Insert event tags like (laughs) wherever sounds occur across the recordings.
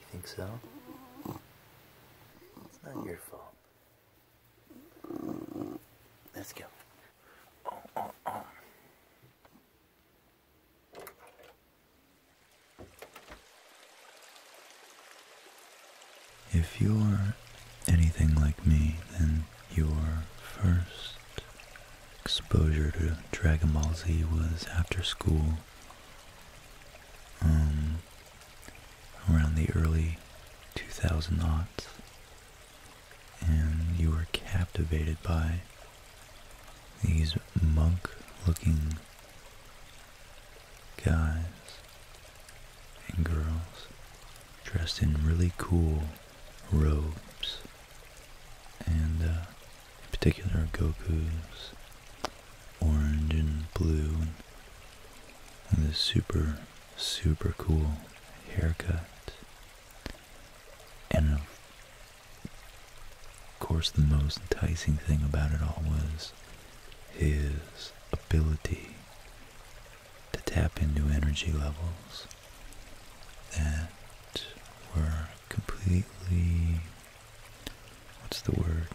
You think so? It's not your fault. Let's go. Oh, oh, oh. If you're anything like me, then your first exposure to Dragon Ball Z was after school um, around the early 2000s, and you were captivated by these monk-looking guys and girls dressed in really cool robes and uh, in particular Goku's orange and blue, and, and this super, super cool haircut, and of course the most enticing thing about it all was his ability to tap into energy levels that were completely what's the word?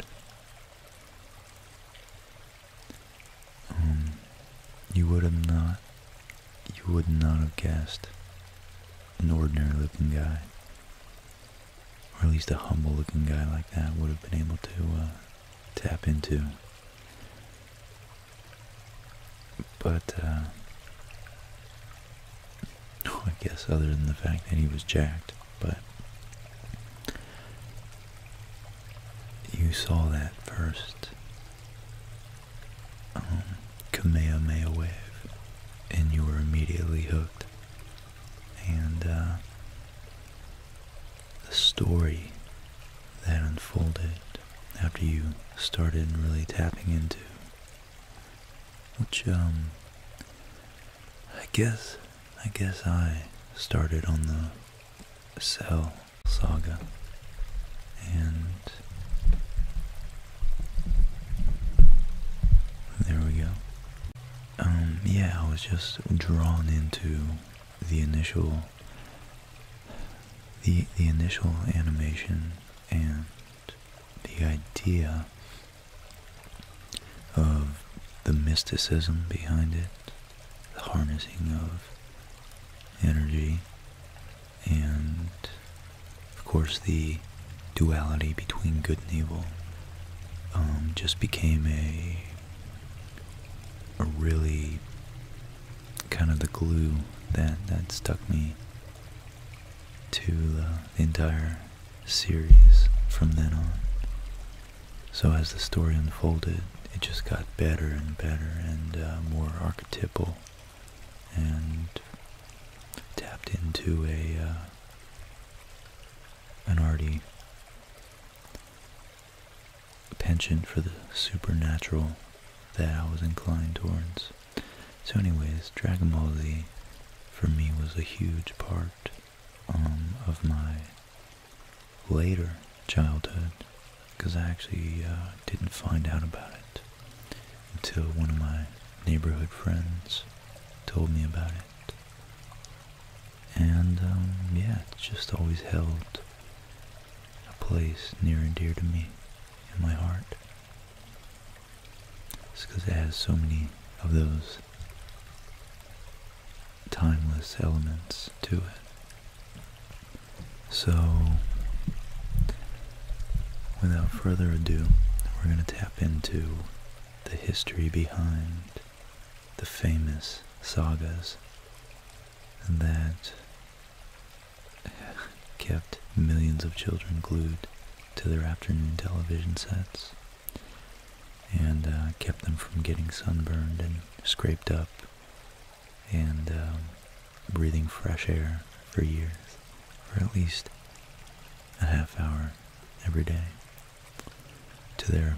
Um, you would have not you would not have guessed an ordinary looking guy or at least a humble looking guy like that would have been able to uh, tap into but uh, I guess other than the fact that he was jacked, but you saw that first um, Kamehameha wave, and you were immediately hooked. And uh, the story that unfolded after you started really tapping into which um, I guess I guess I started on the Cell saga and there we go. Um, yeah, I was just drawn into the initial the the initial animation and the idea of the mysticism behind it, the harnessing of energy, and of course the duality between good and evil um, just became a, a really kind of the glue that, that stuck me to the entire series from then on. So as the story unfolded, it just got better and better and uh, more archetypal and tapped into a uh, an already penchant for the supernatural that I was inclined towards. So anyways, Dragon Ball Z for me was a huge part um, of my later childhood because I actually uh, didn't find out about it until one of my neighborhood friends told me about it. And um, yeah, it just always held a place near and dear to me in my heart. It's because it has so many of those timeless elements to it. So, without further ado, we're going to tap into the history behind the famous sagas that (laughs) kept millions of children glued to their afternoon television sets and uh, kept them from getting sunburned and scraped up and um, breathing fresh air for years, for at least a half hour every day, to their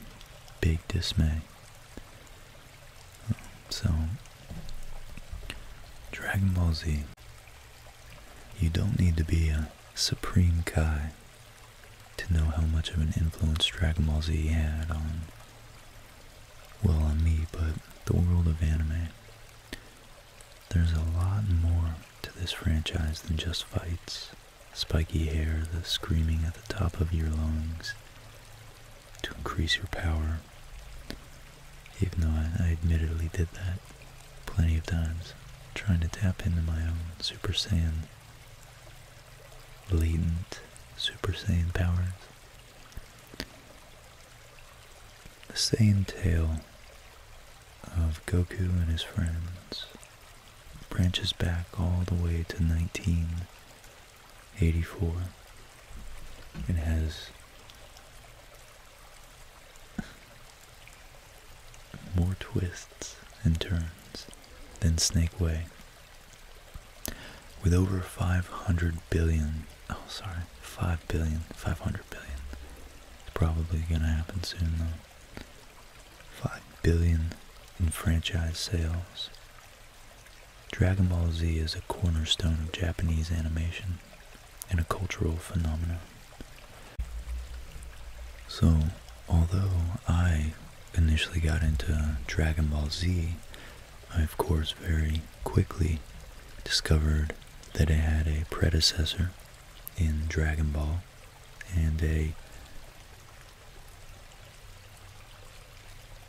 big dismay. So, Dragon Ball Z, you don't need to be a Supreme Kai to know how much of an influence Dragon Ball Z had on, well, on me, but the world of anime. There's a lot more to this franchise than just fights, spiky hair, the screaming at the top of your lungs to increase your power, even though I, I admittedly did that plenty of times, trying to tap into my own Super Saiyan latent Super Saiyan powers. The same tale of Goku and his friends branches back all the way to 1984. and has more twists and turns than Snake Way. With over 500 billion, oh sorry, 5 billion, 500 billion. It's probably going to happen soon though. 5 billion in franchise sales. Dragon Ball Z is a cornerstone of Japanese animation in a cultural phenomenon. So, although I initially got into Dragon Ball Z, I of course very quickly discovered that it had a predecessor in Dragon Ball and a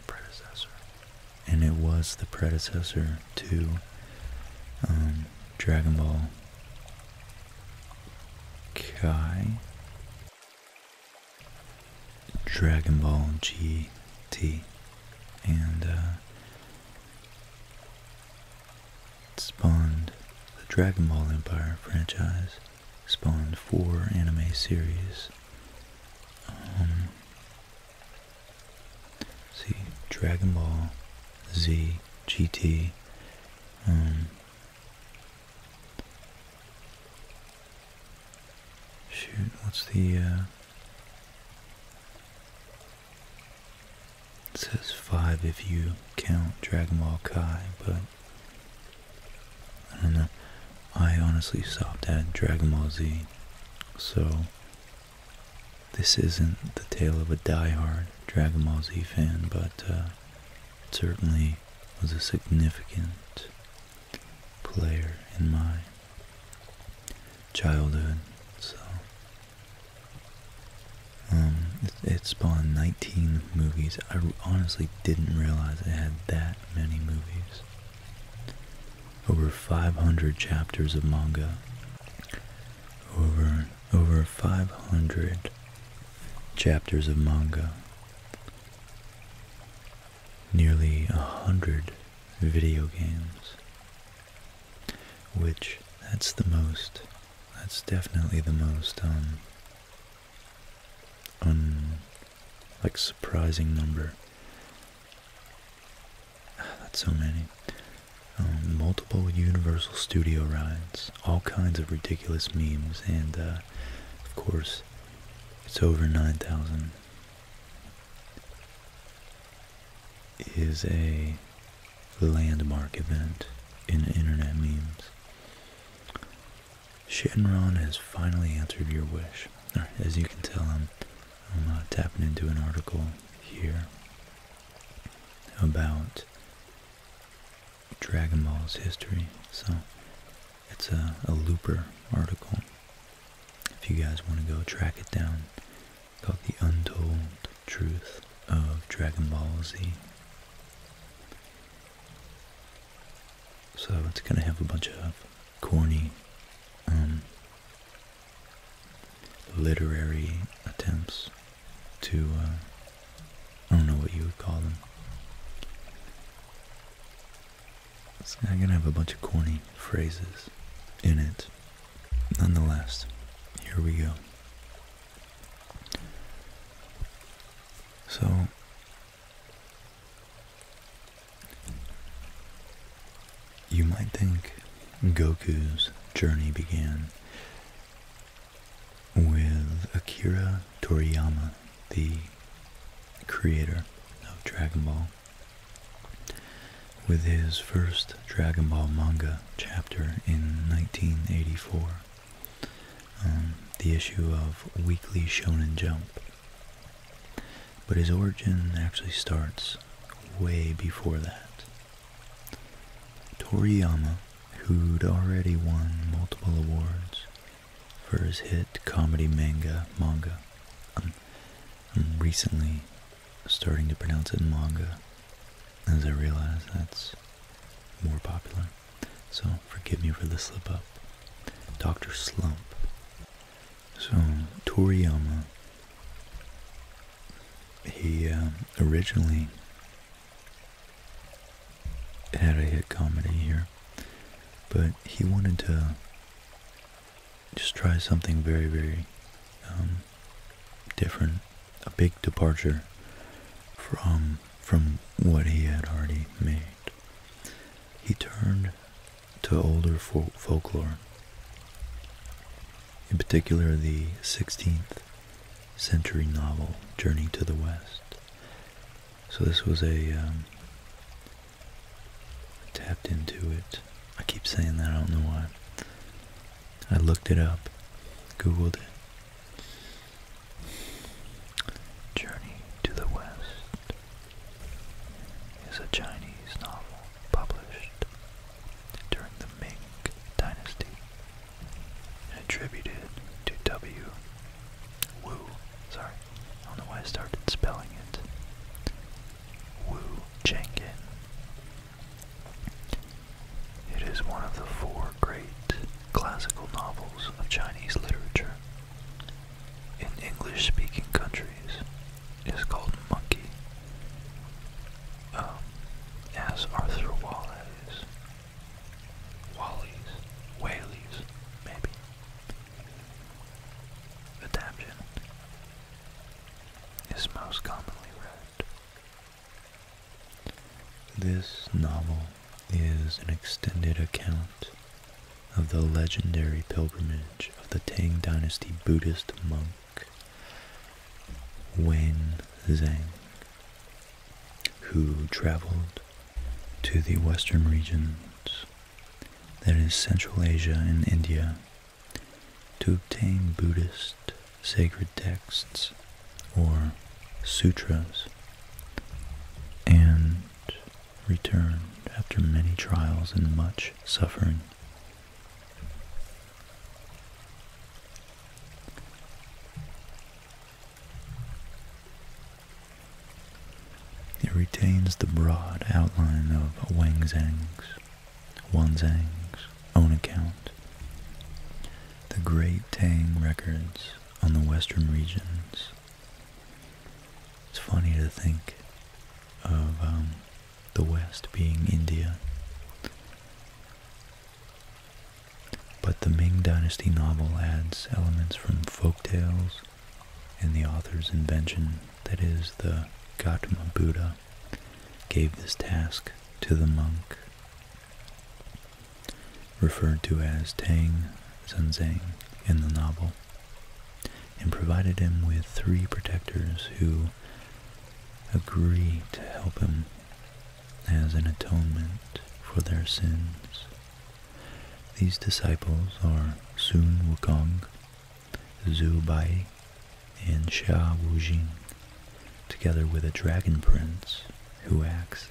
predecessor. And it was the predecessor to um, Dragon Ball Kai Dragon Ball GT and uh, spawned the Dragon Ball Empire franchise, spawned four anime series. Um, see, Dragon Ball Z, GT, um, shoot, what's the... Uh, it says 5 if you count Dragon Ball Kai, but... I don't know. I honestly stopped at Dragon Ball Z, so this isn't the tale of a die-hard Dragon Ball Z fan, but it uh, certainly was a significant player in my childhood. So um, it, it spawned 19 movies. I honestly didn't realize it had that many movies. Over 500 chapters of manga, over over 500 chapters of manga, nearly a hundred video games, which that's the most, that's definitely the most, um, un, like surprising number. (sighs) That's so many. Um, multiple Universal Studio rides, all kinds of ridiculous memes, and uh, of course, it's over 9,000. Is a landmark event in internet memes. Shenron has finally answered your wish. as you can tell, I'm, I'm uh, tapping into an article here about Dragon Ball's history. So it's a, Looper article. If you guys want to go track it down, called The Untold Truth of Dragon Ball Z. So it's going to have a bunch of corny um, literary attempts to, uh, I don't know what you would call them. I'm gonna have a bunch of corny phrases in it. Nonetheless, here we go. So, you might think Goku's journey began with Akira Toriyama, the creator of Dragon Ball, with his first Dragon Ball manga chapter in 1984, um, the issue of Weekly Shonen Jump. But his origin actually starts way before that. Toriyama, who'd already won multiple awards for his hit comedy manga, manga, I'm, um, I'm um, recently starting to pronounce it manga, as I realize that's more popular, so forgive me for the slip up. Dr. Slump. So, Toriyama, he um, originally had a hit comedy here, but he wanted to just try something very, very um, different, a big departure from from what he had already made. He turned to older folklore, in particular the 16th century novel, Journey to the West. So this was a, um, tapped into it. I keep saying that, I don't know why. I looked it up, googled it. Journey to the West is a Chinese novel published during the Ming Dynasty attributed to W. Wu. Sorry, I don't know why I started spelling it. Wu Chengin. It is one of the four great classical novels of Chinese literature. In English speaking countries, it is called Monkey, um, as Arthur Wallace wallies, whaleys, maybe. The Adaption is most commonly read. This novel is an extended account of the legendary pilgrimage of the Tang Dynasty Buddhist monk Wen Zhang who traveled to the western regions, that is Central Asia and India, to obtain Buddhist sacred texts or sutras and returned after many trials and much suffering. It retains the broad outline of Wangzhang's, Wanzhang's own account. The Great Tang records on the western regions. It's funny to think of um, the West being India but the Ming Dynasty novel adds elements from folk tales and the author's invention, that is, the Gautama Buddha, gave this task to the monk, referred to as Tang Zhenzang in the novel, and provided him with three protectors who agreed to help him as an atonement for their sins. These disciples are Sun Wukong, Zhu Bai, and Xia Wujing, together with a dragon prince who acts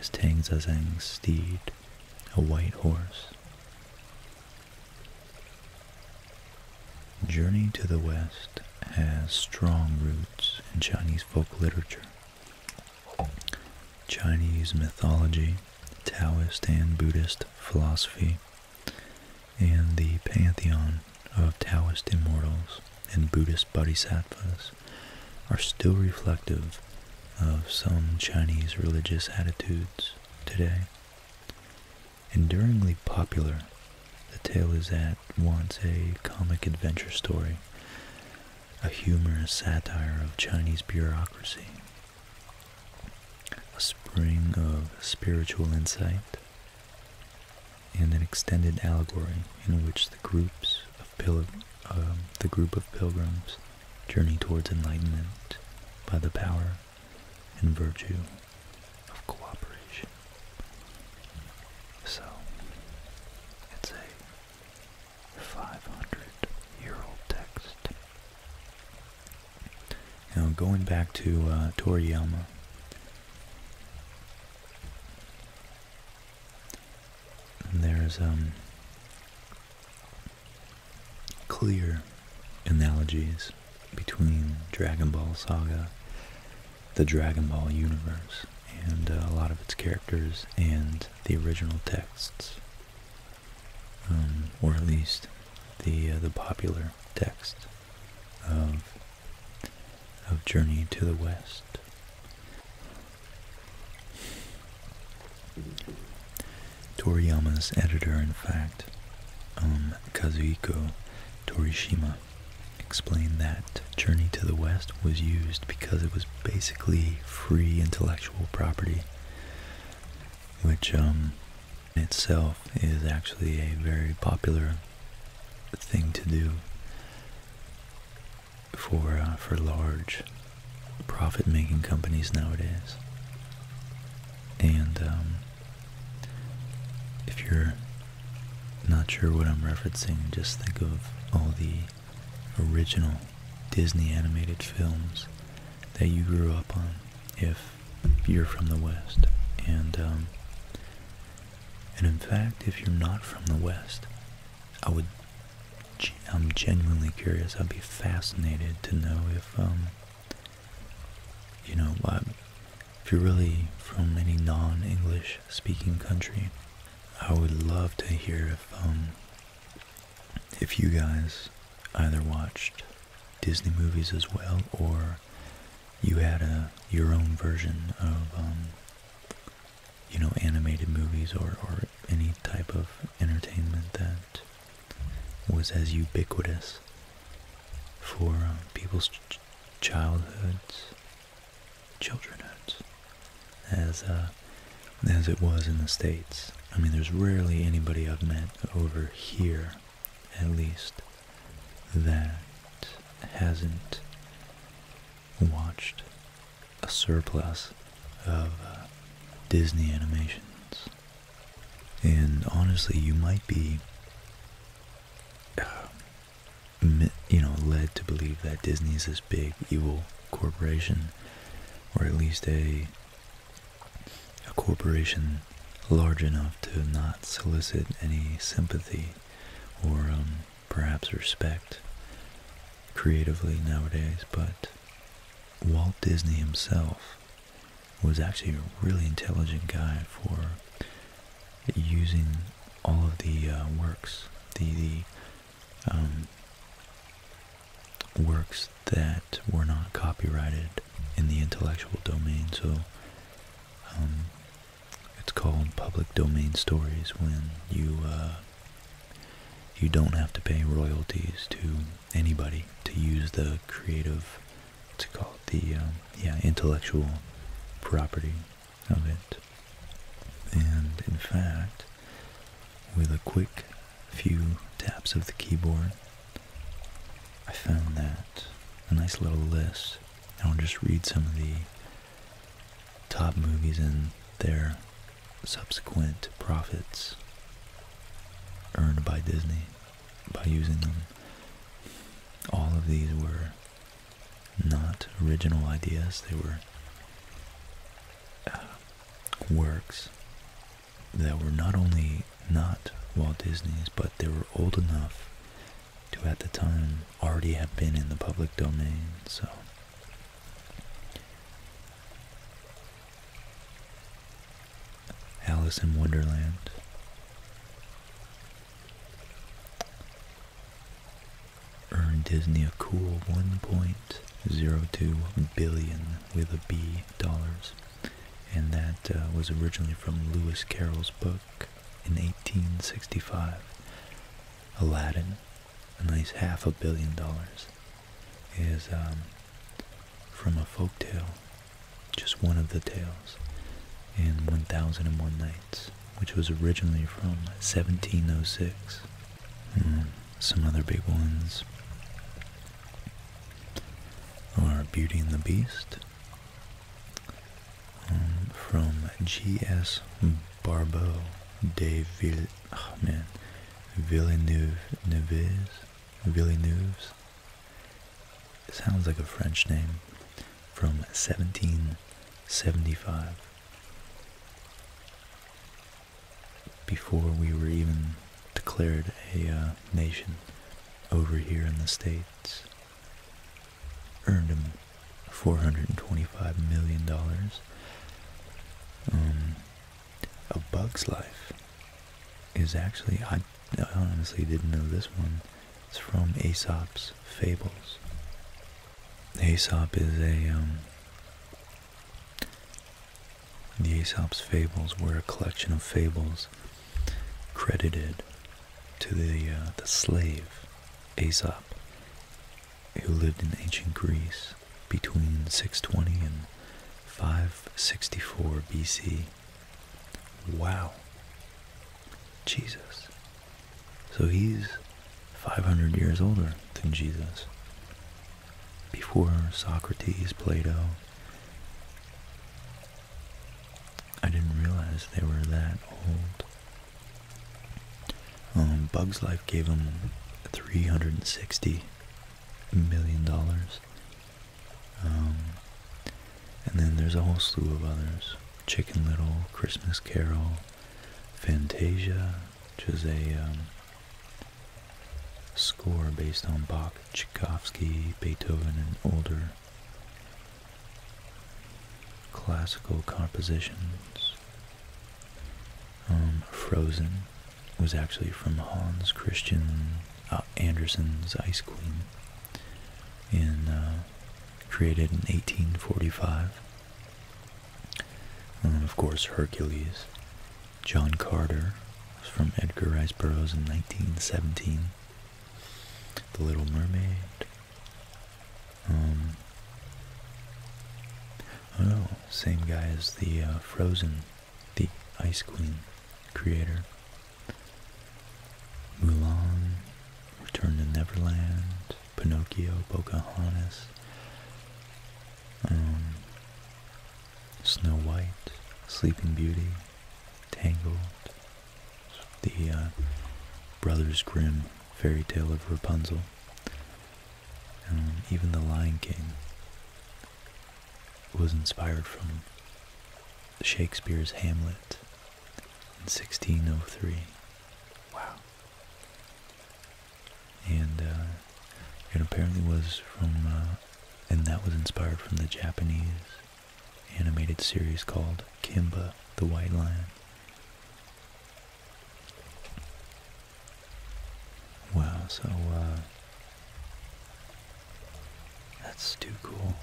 as Tang Zazang's steed, a white horse. Journey to the West has strong roots in Chinese folk literature, Chinese mythology, Taoist and Buddhist philosophy, and the pantheon of Taoist immortals and Buddhist bodhisattvas are still reflective of some Chinese religious attitudes today. Enduringly popular the tale is at once a comic adventure story, a humorous satire of Chinese bureaucracy, a spring of spiritual insight, and an extended allegory in which the groups of um, the group of pilgrims journey towards enlightenment by the power and virtue of cooperation. So, it's a 500 year old text. Now, going back to uh, Toriyama. There's um clear analogies between Dragon Ball Saga the Dragon Ball universe and uh, a lot of its characters and the original texts, um, or at least the uh, the popular text of of Journey to the West. Toriyama's editor, in fact, um, Torishima, Explain that Journey to the West was used because it was basically free intellectual property, which um, itself is actually a very popular thing to do for uh, for large profit-making companies nowadays. And um, if you're not sure what I'm referencing, just think of all the original Disney animated films that you grew up on if you're from the West. And, um, and in fact, if you're not from the West, I would, I'm genuinely curious. I'd be fascinated to know if, um, you know, I, if you're really from any non-English speaking country, I would love to hear if um, if you guys either watched Disney movies as well or you had a your own version of um, you know animated movies or any type of entertainment that was as ubiquitous for uh, people's childhoods childrenhood as uh, as it was in the states. I mean, there's rarely anybody I've met over here, at least, that hasn't watched a surplus of uh, Disney animations. And honestly, you might be. Uh, you know, led to believe that Disney is this big evil corporation, or at least a a corporation large enough to not solicit any sympathy or um, perhaps respect creatively nowadays. But Walt Disney himself was actually a really intelligent guy for using all of the uh, works, the, the um, works that were not copyrighted in the intellectual domain. So um, it's called public domain stories when you uh, you don't have to pay royalties to anybody to use the creative, to call it the um, yeah intellectual property of it. And in fact, with a quick few taps of the keyboard, I found that a nice little list. And I'll just read some of the top movies and their subsequent profits earned by Disney by using them. All of these were not original ideas, they were uh, works that were not only not Walt Disney's, but they were old enough to at the time already have been in the public domain, so. Alice in Wonderland earned Disney a cool 1.02 billion with a B dollars, and that uh, was originally from Lewis Carroll's book in 1865. Aladdin, at least half a billion dollars, is um, from a folk tale, just one of the tales, in 1001 Nights which was originally from 1706, some other big ones are Beauty and the Beast um, from G.S. Barbeau de Ville, oh man, Villeneuve, Neves, Villeneuve's. sounds like a French name from 1775. Before we were even declared a uh, nation over here in the States, earned him $425 million. Um, a Bug's Life is actually, I honestly didn't know this one. It's from Aesop's Fables. Aesop is a, um, the Aesop's Fables were a collection of fables credited to the, uh, the slave Aesop, who lived in ancient Greece between 620 and 564 BC. Wow. Jesus. So he's 500 years older than Jesus. Before Socrates, Plato, I didn't realize they were that old. Um, Bug's Life gave him 360 million dollars. Um, and then there's a whole slew of others: Chicken Little, Christmas Carol, Fantasia, which is a score based on Bach, Tchaikovsky, Beethoven, and older classical compositions. Um, Frozen was actually from Hans Christian uh, Andersen's Ice Queen in uh, created in 1845. And then, of course, Hercules. John Carter from Edgar Rice Burroughs in 1917. The Little Mermaid. oh, same guy as the uh, Frozen, the Ice Queen creator. Mulan, Return to Neverland, Pinocchio, Pocahontas, um, Snow White, Sleeping Beauty, Tangled, the uh, Brothers Grimm fairy tale of Rapunzel, um, even The Lion King was inspired from Shakespeare's Hamlet in 1603. Wow. And uh, it apparently was from, uh, and that was inspired from the Japanese animated series called Kimba the White Lion. Wow, so, uh, that's too cool.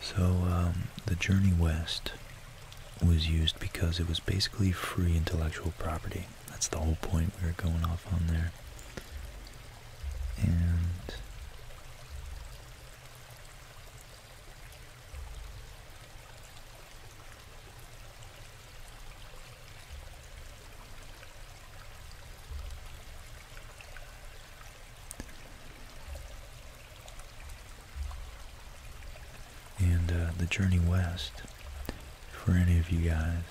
So um, the journey west was used because it was basically free intellectual property. That's the whole point we were going off on there. And and uh, the journey west for any of you guys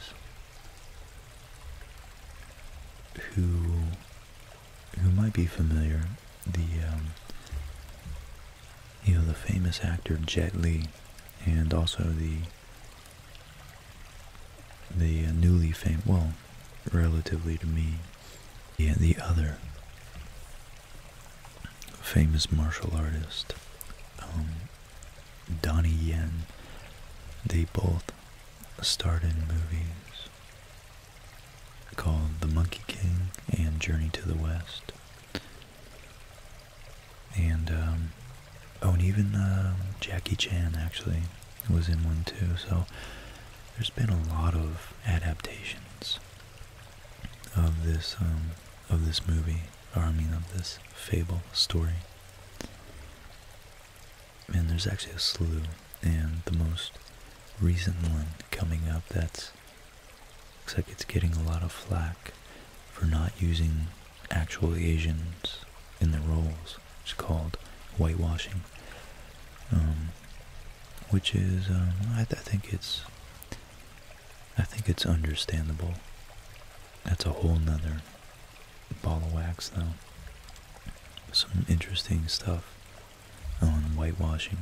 who who might be familiar the um, you know, the famous actor Jet Li and also the the uh, newly famous, well, relatively to me, yeah, the other famous martial artist, um, Donnie Yen, they both starred in movies called The Monkey King and Journey to the West. And, um, oh, and even um, Jackie Chan actually was in one too, so there's been a lot of adaptations of this, um, of this movie, or I mean of this fable story. And there's actually a slew, and the most recent one coming up that's Looks like it's getting a lot of flack for not using actual Asians in the roles. It's called whitewashing, um, which is um, I, I think it's I think it's understandable. That's a whole nother ball of wax though. Some interesting stuff on whitewashing.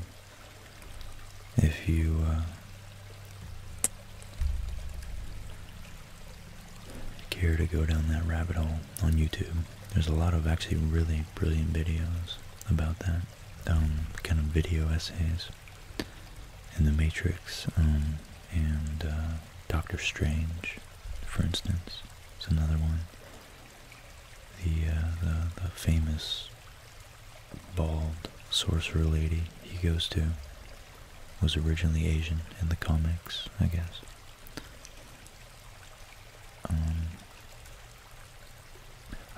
If you, uh, care to go down that rabbit hole on YouTube, there's a lot of actually really brilliant videos about that, um, kind of video essays, In The Matrix, um, and, uh, Doctor Strange, for instance, is another one. Uh, the, the, famous bald sorcerer lady he goes to was originally Asian in the comics, I guess. Um,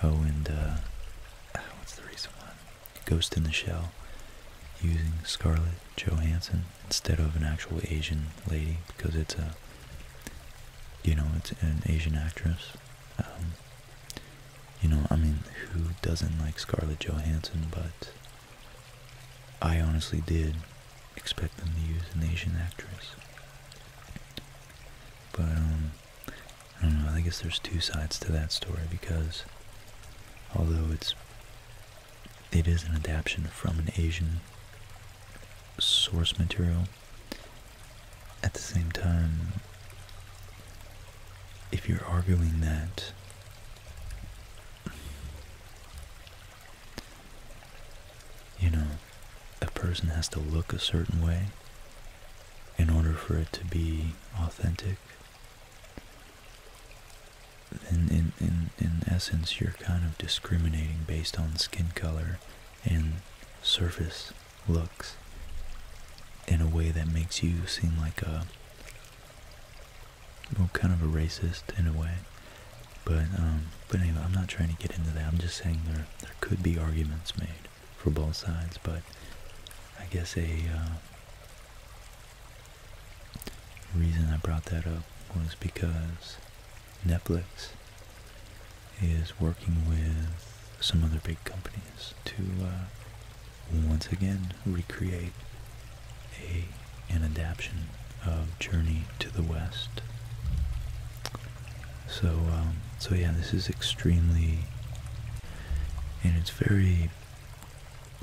oh, and uh, ah, what's the recent Ghost in the Shell, using Scarlett Johansson instead of an actual Asian lady because it's a, you know, it's an Asian actress um, you know, I mean, who doesn't like Scarlett Johansson? But I honestly did expect them to use an Asian actress. But, um, I don't know, I guess there's two sides to that story because although it's, it is an adaptation from an Asian source material, at the same time, if you're arguing that you know, a person has to look a certain way in order for it to be authentic, then in, in, in essence you're kind of discriminating based on skin color and surface looks in a way that makes you seem like a well, kind of a racist in a way. But um, but anyway, I'm not trying to get into that. I'm just saying there there could be arguments made for both sides. But I guess a uh, reason I brought that up was because Netflix is working with some other big companies to uh, once again recreate a an adaptation of Journey to the West. So um, so yeah, this is extremely and it's very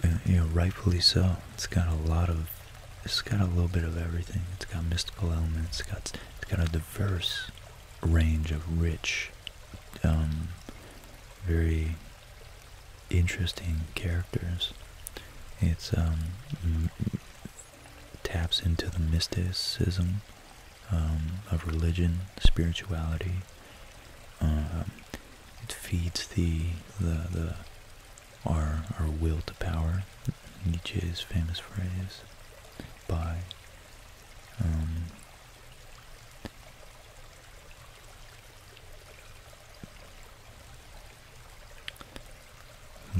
uh, you know rightfully so. It's got a lot of it's got a little bit of everything. It's got mystical elements. It's got it's got a diverse range of rich, um, very interesting characters. It um, taps into the mysticism um, of religion, spirituality. it feeds the the the our our will to power. Nietzsche's famous phrase by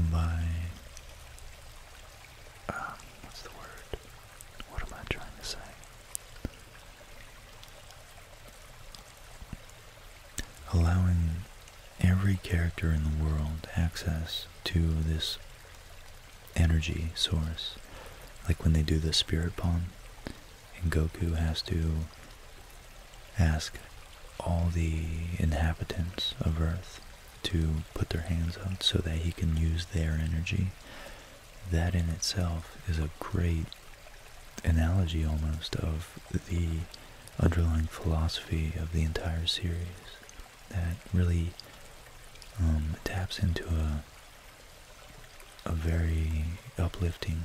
by um, um, what's the word? What am I trying to say? Allowing every character in the world access to this energy source. Like when they do the spirit bomb, and Goku has to ask all the inhabitants of Earth to put their hands out so that he can use their energy. That in itself is a great analogy almost of the underlying philosophy of the entire series that really um, taps into a a very uplifting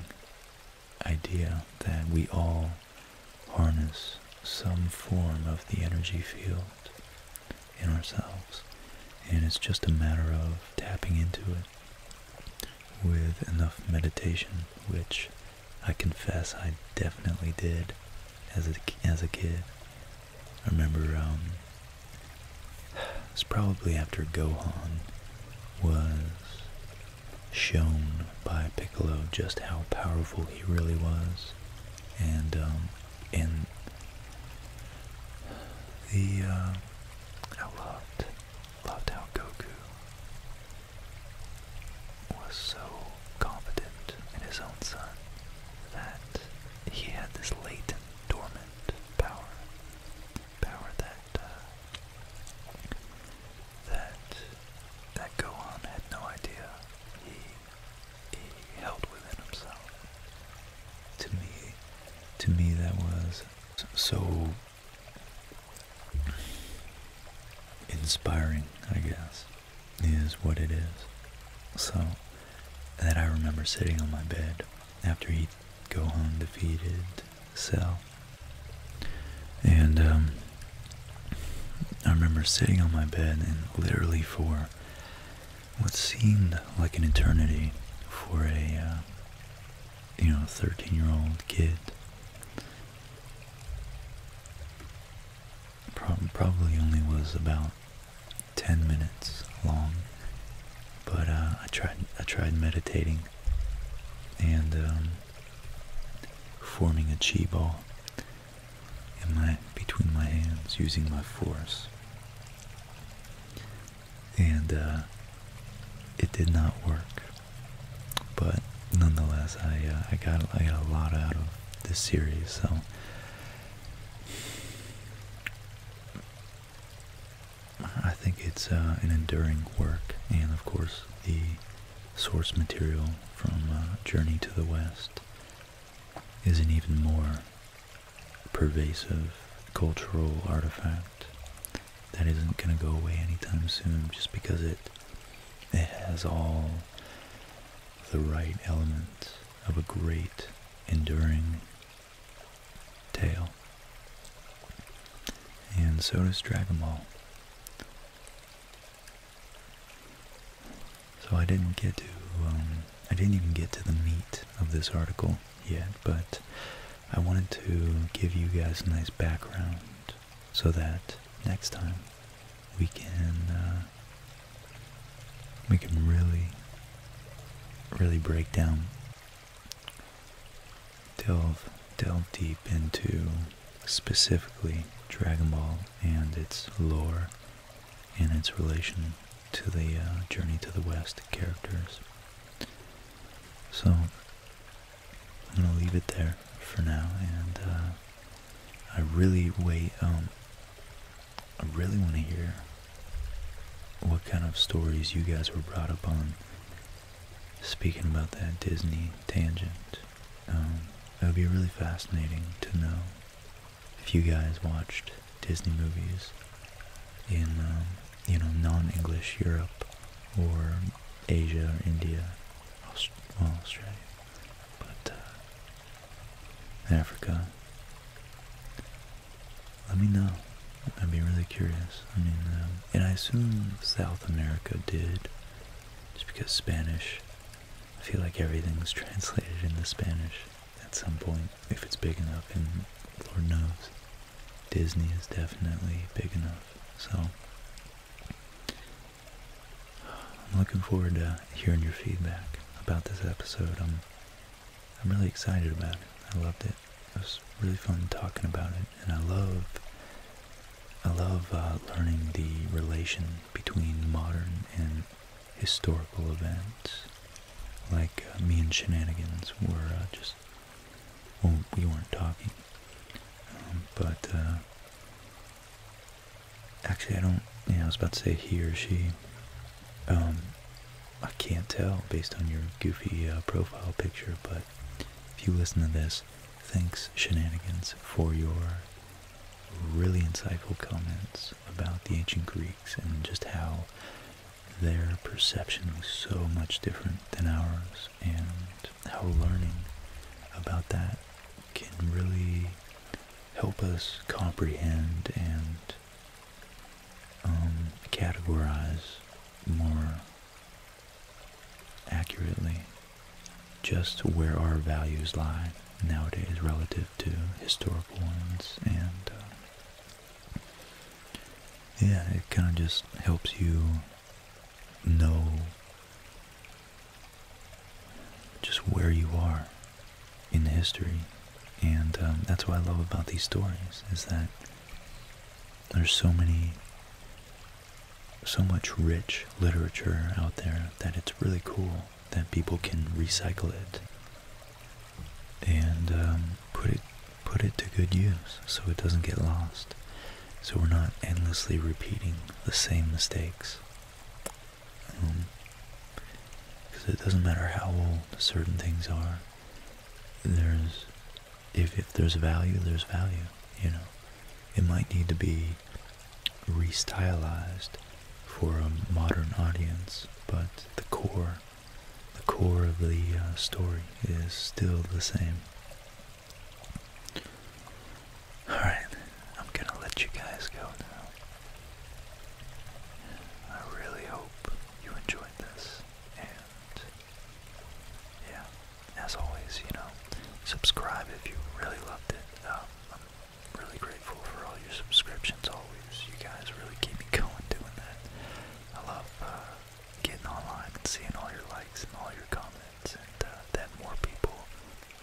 idea that we all harness some form of the energy field in ourselves and it's just a matter of tapping into it with enough meditation which I confess I definitely did as a, as a kid I remember um, it was probably after Gohan was shown by Piccolo just how powerful he really was, and and um, the uh, I loved loved how Goku was so confident in his own son that he had this latent, dormant power, power that uh, that that Gohan had no idea he he held within himself. To me, to me, that was so inspiring. I guess is what it is. So that I remember sitting on my bed after he'd go home defeated Cell. And um, I remember sitting on my bed and literally for what seemed like an eternity for a, uh, you know, 13-year-old kid. probably only was about 10 minutes long but uh, I tried I tried meditating and um, forming a chi ball in my between my hands using my force and uh, it did not work but nonetheless I, uh, I got I got a lot out of this series so I think it's uh, an enduring work, and of course, the source material from uh, Journey to the West is an even more pervasive cultural artifact that isn't going to go away anytime soon just because it, it has all the right elements of a great, enduring tale. And so does Dragon Ball. So I didn't get to, um, I didn't even get to the meat of this article yet, but I wanted to give you guys a nice background so that next time we can uh, we can really, really break down, delve, delve deep into specifically Dragon Ball and its lore and its relation to the uh, Journey to the West characters. So, I'm going to leave it there for now, and uh, I really wait, um, I really want to hear what kind of stories you guys were brought up on. Speaking about that Disney tangent, um, it would be really fascinating to know if you guys watched Disney movies in, um, you know, non-English Europe or Asia or India, Aust Australia. But uh, Africa, let me know. I'd be really curious. I mean, um, and I assume South America did, just because Spanish, I feel like everything's (laughs) translated into Spanish at some point, if it's big enough, and Lord knows, Disney is definitely big enough, so... I'm looking forward to hearing your feedback about this episode. I'm really excited about it. I loved it. It was really fun talking about it, and I love, I love uh, learning the relation between modern and historical events. Like uh, me and shenanigans were uh, just, well, we weren't talking, um, but actually I don't. Yeah, I was about to say he or she. Um, I can't tell based on your goofy uh, profile picture, but if you listen to this, thanks Shenanigans for your really insightful comments about the ancient Greeks and just how their perception was so much different than ours and how learning about that can really help us comprehend and um, categorize more accurately just where our values lie nowadays relative to historical ones and uh, yeah it kind of just helps you know just where you are in history. And um, that's what I love about these stories is that there's so many, so much rich literature out there that it's really cool that people can recycle it and um, put it put it to good use so it doesn't get lost. So we're not endlessly repeating the same mistakes because um, it doesn't matter how old certain things are. There's, if if there's value, there's value. You know, it might need to be restylized for a modern audience, but the core, the core of the uh, story is still the same. Alright, I'm gonna let you guys go now. I really hope you enjoyed this. And yeah, as always, you know, subscribe if you really loved it. Um, I'm really grateful for all your subscriptions always. You guys really keep me going doing that. I love uh, getting online and seeing all your likes and all your comments and uh, that more people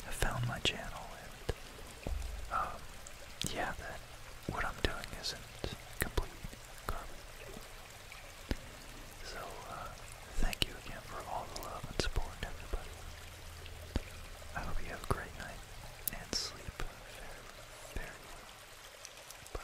have found my channel and um, yeah, that what I'm doing isn't complete So, uh, thank you again for all the love and support, everybody. I hope you have a great night and sleep very, very well. Bye.